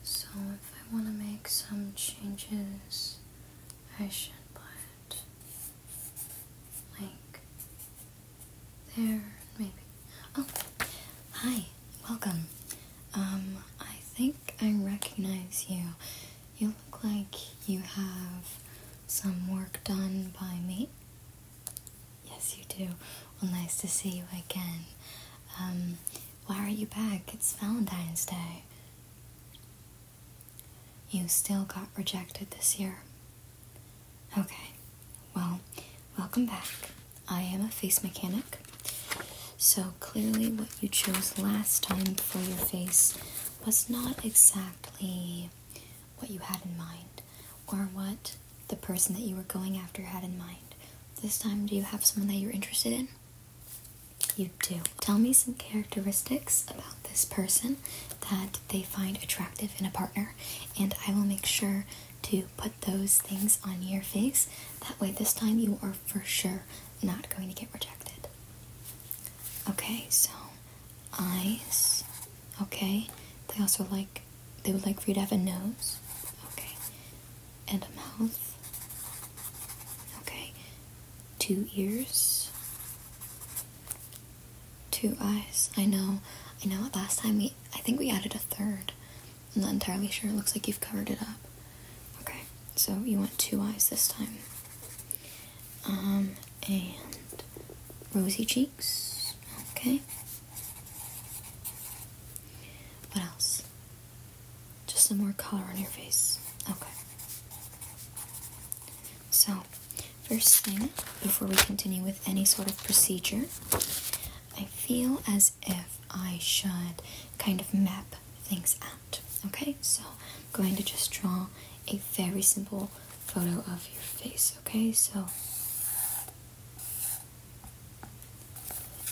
So if I want to make some changes, I should put like there, maybe. Oh, hi, welcome. Um, I think I recognize you. You look like you have some work done by me. Yes, you do. Well, nice to see you again. Um, why are you back? It's Valentine's Day. You still got rejected this year. Okay, well, welcome back. I am a face mechanic. So clearly, what you chose last time for your face was not exactly what you had in mind or what the person that you were going after had in mind. This time, do you have someone that you're interested in? You do. Tell me some characteristics about this person that they find attractive in a partner, and I will make sure to put those things on your face. That way, this time you are for sure not going to get rejected. Okay, so eyes. Okay, they also like, they would like for you to have a nose. Okay, and a mouth. Okay, two ears, two eyes. I know, I know. Last time we, I think we added a third. I'm not entirely sure. It looks like you've covered it up. Okay, so you want two eyes this time. Um, and rosy cheeks. Okay. What else? Just some more color on your face. Okay. So, first thing, before we continue with any sort of procedure, I feel as if I should kind of map things out. Okay, so I'm going to just draw a very simple photo of your face. Okay, so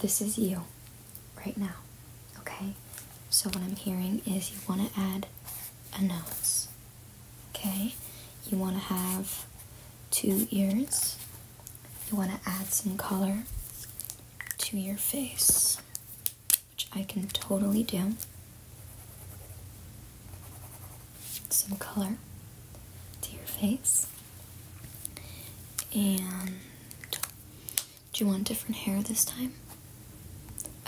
this is you right now, okay? So, what I'm hearing is you want to add a nose, okay? You want to have two ears, you want to add some color to your face, which I can totally do. Some color to your face. And do you want different hair this time?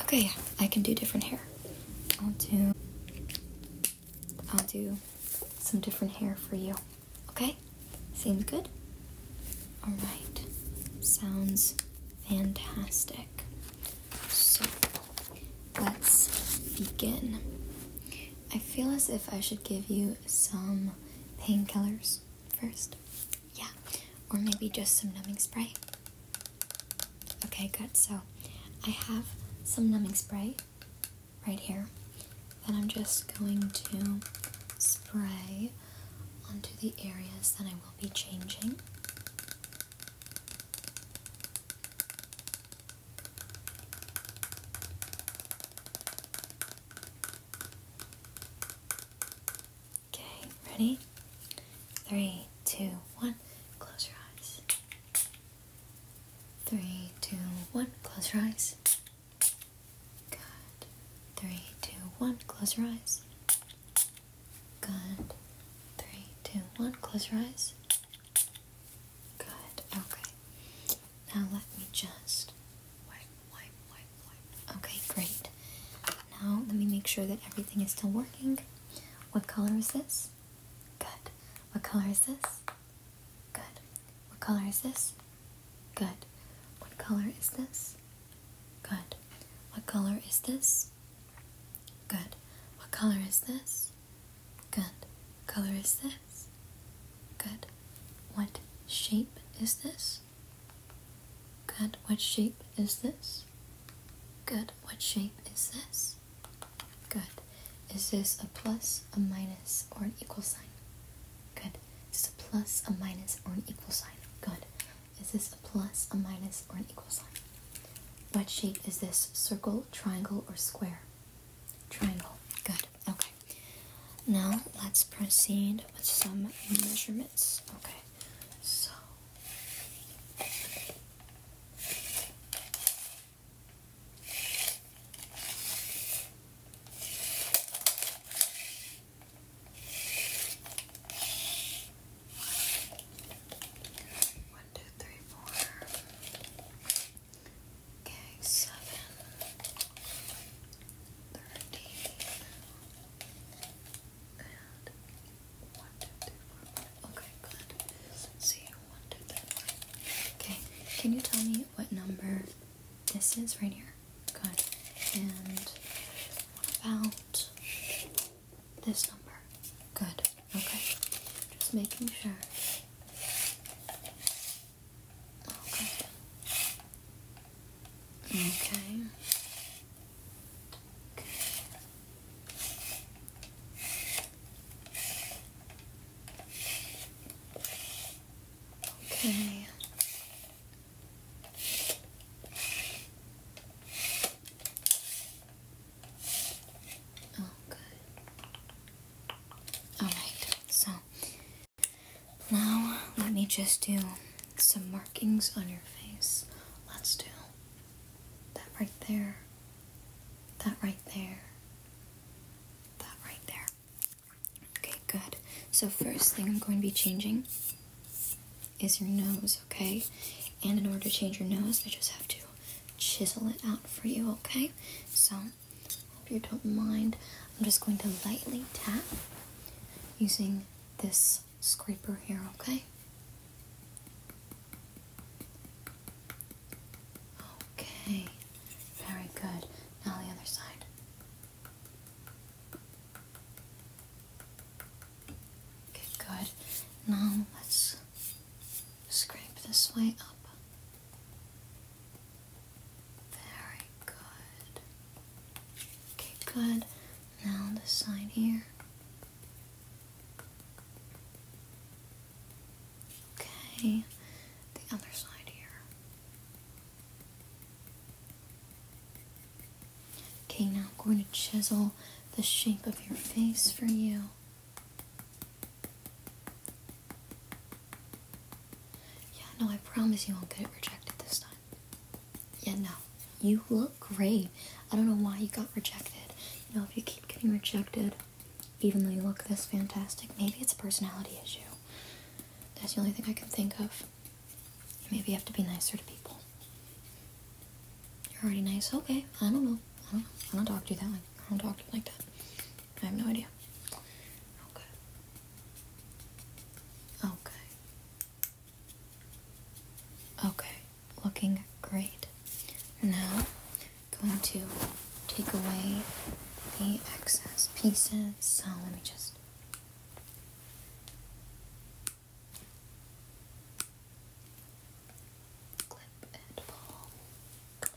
Okay, I can do different hair. I'll do I'll do some different hair for you. Okay? Seems good? All right. Sounds fantastic. So, let's begin. I feel as if I should give you some painkillers first. Yeah, or maybe just some numbing spray. Okay, good. So I have some numbing spray right here that I'm just going to spray onto the areas that I will be changing. Okay, ready? Three, two, one, close your eyes. Three, two, one, close your eyes. Good. Three, two, one, close your eyes. Good. Three, two, one, close your eyes. Good. Okay. Now let me just wipe, wipe, wipe, wipe. Okay, great. Now let me make sure that everything is still working. What color is this? Good. What color is this? Good. What color is this? Good. What color is this? Good. What color is this? Good. What color is this? Good. What color is this? Good. What shape is this? Good. What shape is this? Good. What shape is this? Good. Is this a plus, a minus, or an equal sign? Good. Is this a plus, a minus, or an equal sign? Good. Is this a plus, a minus, or an equal sign? What shape is this? Circle, triangle, or square? Triangle. Good. Okay. Now let's proceed with some measurements. Okay, so one, two, three, four. Okay, seven thirteen and one, two, three, four, five. Okay, good. see one, two, three, four. Okay, can you tell me what number this is right here? Good. And what about this number? Good. Okay. Just making sure. Okay. Okay. Okay. Okay. Oh, All right. So now, let me just do some markings on your face. Let's do that right there, that right there, that right there. Okay, good. So, first thing I'm going to be changing is your nose, okay? And in order to change your nose, I just have to chisel it out for you, okay? So, if you don't mind, I'm just going to lightly tap using this scraper here, okay? Okay, very good. Now the other side. Okay, good. Now let's Scrape this way up. Very good. Okay, good. Now this side here. Okay, the other side here. Okay, now I'm going to chisel the shape of your face for you. Yeah, no, I promise you won't get it rejected this time. Yeah, no. You look great. I don't know why you got rejected. You know, if you keep getting rejected, even though you look this fantastic, maybe it's a personality issue. That's the only thing I can think of. Maybe you have to be nicer to people. You're already nice. Okay, I don't know. I don't, know. I don't talk to you that way. I don't talk to you like that. I have no idea. Okay. Okay. Okay, looking great. Now, going to take away the excess pieces. So let me just. Clip and pull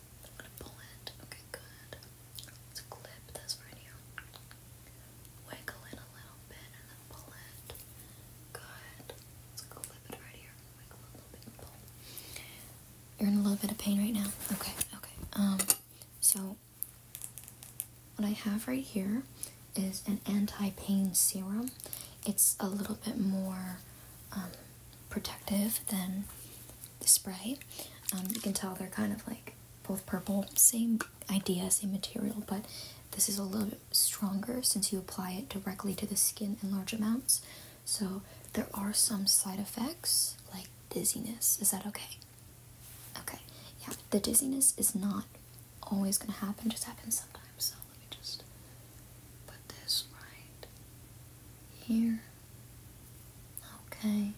I'm gonna pull it. Okay, good. Let's clip this right here. Wiggle it a little bit and then pull it. Good. Let's clip it right here. Wiggle a little bit and pull. You're in a little bit of pain right now. Okay, okay. Um, so what I have right here is an anti-pain serum. It's a little bit more um, protective than the spray. Um, you can tell they're kind of like both purple, same idea, same material, but this is a little stronger since you apply it directly to the skin in large amounts. So there are some side effects like dizziness. Is that okay? Okay, yeah, the dizziness is not always going to happen, just happens sometimes. So let me just Put this right here. Okay.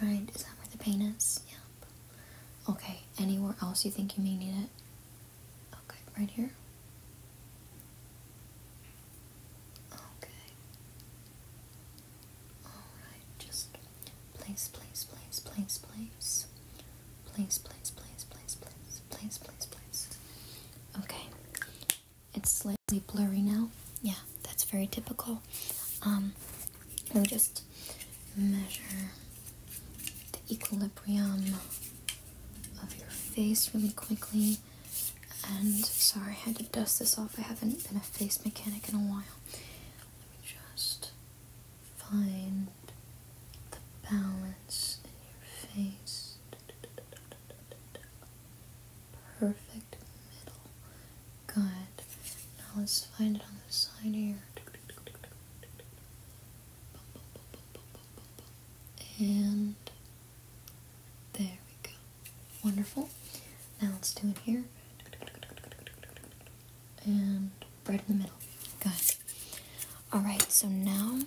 Alright, is that where the pain is? Yep. Okay, anywhere else you think you may need it? Okay, right here. Okay. Alright, just place, place, place, place, place. Place, place, place, place, please, please, please, Okay. It's slightly blurry now. Yeah, that's very typical. Um, we'll just measure the equilibrium of your face really quickly. And sorry, I had to dust this off. I haven't been a face mechanic in a while. Let me just find the balance in your face. Perfect middle. Good. Now let's find it on the side here. And there we go. Wonderful. Now let's do it here. And right in the middle. Good. Alright, so now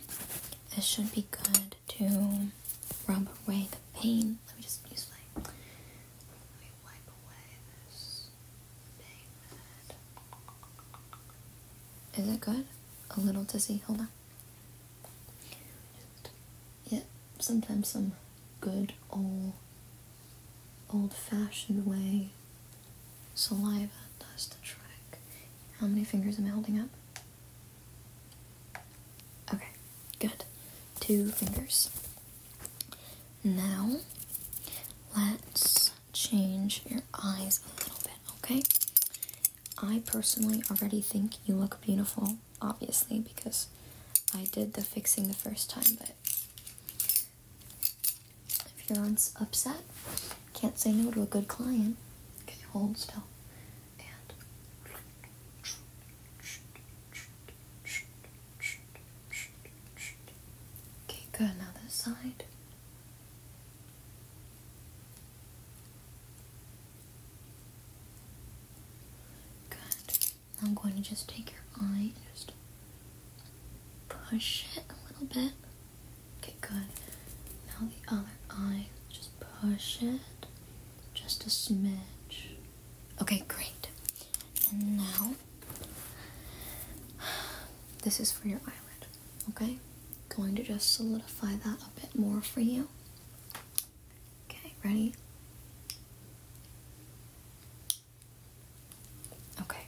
it should be good to rub away the pain. Let me just use like, Is it good? A little dizzy. Hold on. yeah, sometimes some good old, old fashioned way saliva does the trick. How many fingers am I holding up? Okay, good. Two fingers. Now, let's change your eyes a little bit, okay? I personally already think you look beautiful, obviously, because I did the fixing the first time, but if you're upset, can't say no to a good client. Okay, hold still. And. Okay, good. Now this side. Good. I'm going to just take your eye just push it a little bit. Okay, good. Now the other eye. Just push it. Just a smidge. Okay, great. And now, this is for your eyelid, okay? Going to just solidify that a bit more for you. Okay, ready? Okay,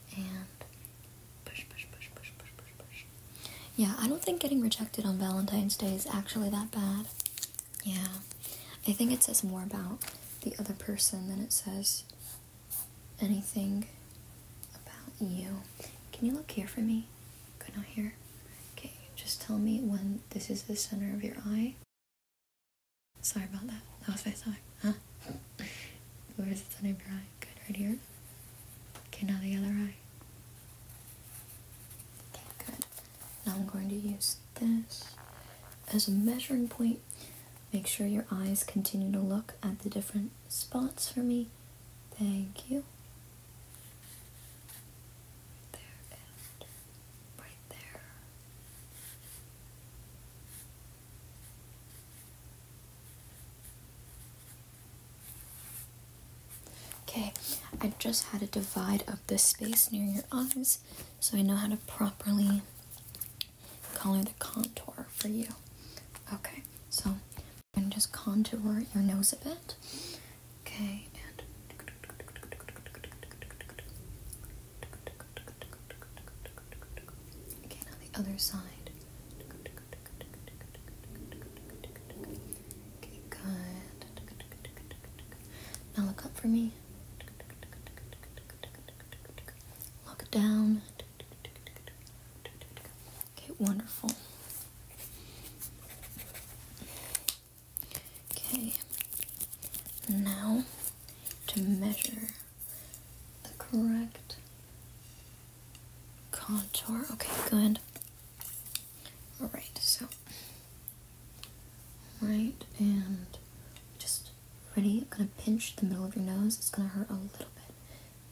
Yeah, I don't think getting rejected on Valentine's Day is actually that bad. Yeah, I think it says more about the other person than it says anything about you. Can you look here for me? Good, not here. Okay, just tell me when this is the center of your eye. Sorry about that. That was my song. Huh? Where is it on your eye? Good, right here. Okay, now the other eye. Okay, good. Now I'm going to use this as a measuring point. Make sure your eyes continue to look at the different spots for me. Thank you. There and right there. Okay, I just had to divide up this space near your eyes so I know how to properly color the contour for you. Okay, so I'm just contouring your nose a bit. Okay, Okay, now the other side. Okay, good. Now look up for me. Lock it down. Okay, wonderful. Okay, now to measure the correct contour. Okay, good. Alright, so right and just ready. I'm gonna pinch the middle of your nose. It's gonna hurt a little bit.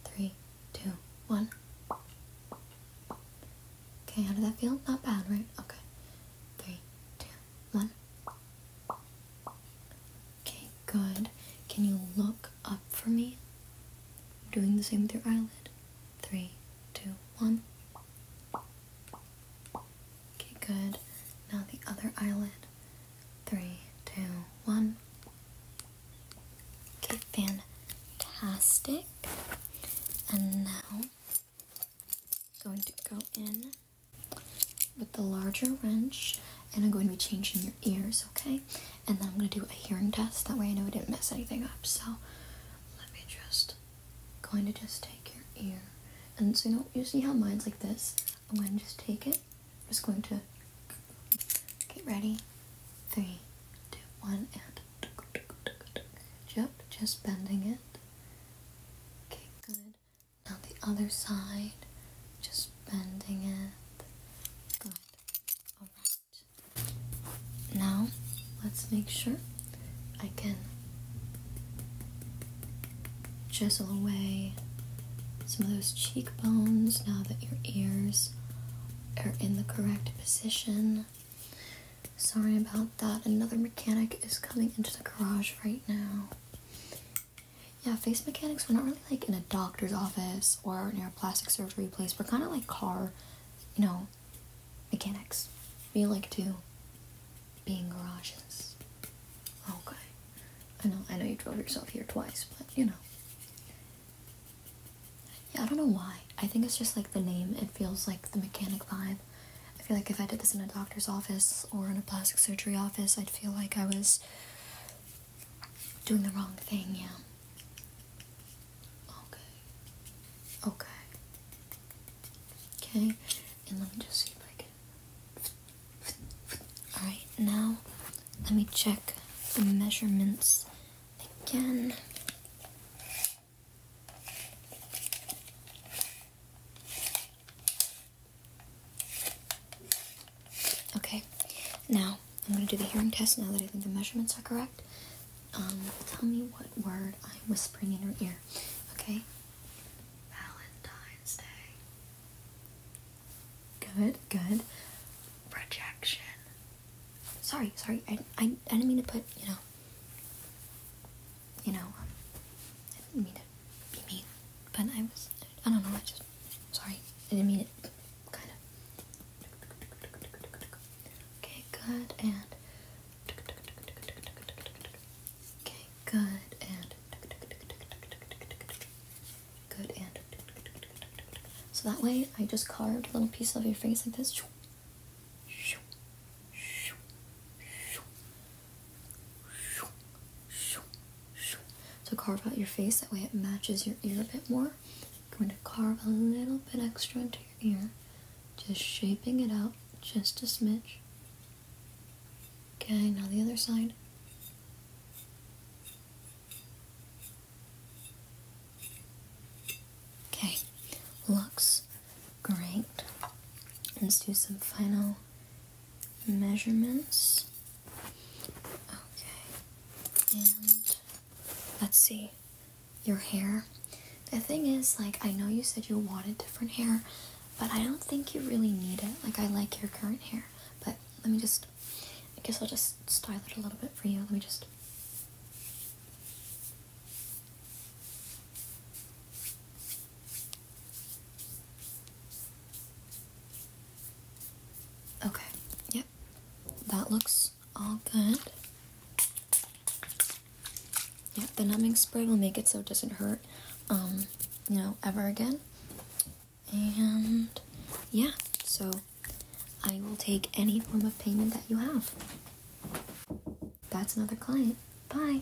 Three, two, one. Okay, how did that feel? Not bad, right? Okay. Three, two, one. Okay, good. Can you look up for me? doing the same with your eyelid. Three, two, one. Okay, good. Now the other eyelid. Three, two, one. Okay, fantastic. And now, going to go in with the larger wrench and I'm going to be changing your ears, okay? And then I'm going to do a hearing test. That way I know I didn't mess anything up. So let me just, going to just take your ear. And so you know, you see how mine's like this? I'm going to just take it. I'm just going to get ready. Three, two, one, and just, just bending it. Okay, good. Now the other side, just bending it. Good. Alright. Now let's make sure I can chisel away some of those cheekbones now that your ears are in the correct position. Sorry about that. Another mechanic is coming into the garage right now. Yeah, face mechanics, we're not really like in a doctor's office or near a plastic surgery place. We're kind of like car, you know, mechanics. We like to be in garages. Okay. I know, I know you drove yourself here twice, but you know. Yeah, I don't know why. I think it's just like the name. It feels like the mechanic vibe. I feel like if I did this in a doctor's office or in a plastic surgery office, I'd feel like I was doing the wrong thing, yeah. Okay. Okay. Okay, and let me just see if I can. Alright, now let me check the measurements again. Okay, now I'm going to do the hearing test now that I think the measurements are correct. Um, tell me what word I'm whispering in your ear, okay? Valentine's Day. Good, good. Projection. Sorry, sorry, I, I, I didn't mean to put, you know you know, I didn't mean to be mean, but I was, I don't know, I just, sorry, I didn't mean it, kind of. Okay, good, and, okay, good, and, good, and, so that way I just carved a little piece of your face like this. So carve out your face, that way it matches your ear a bit more. going to carve a little bit extra into your ear, just shaping it out just a smidge. Okay, now the other side. Okay, looks great. Let's do some final measurements. Okay, and let's see, your hair. The thing is, like, I know you said you wanted different hair, but I don't think you really need it. Like, I like your current hair, but let me just, I guess I'll just style it a little bit for you. Let me just. Okay, yep, that looks all good. Yep. the numbing spray will make it so it doesn't hurt, um, you know, ever again. And yeah, so I will take any form of payment that you have. That's another client. Bye.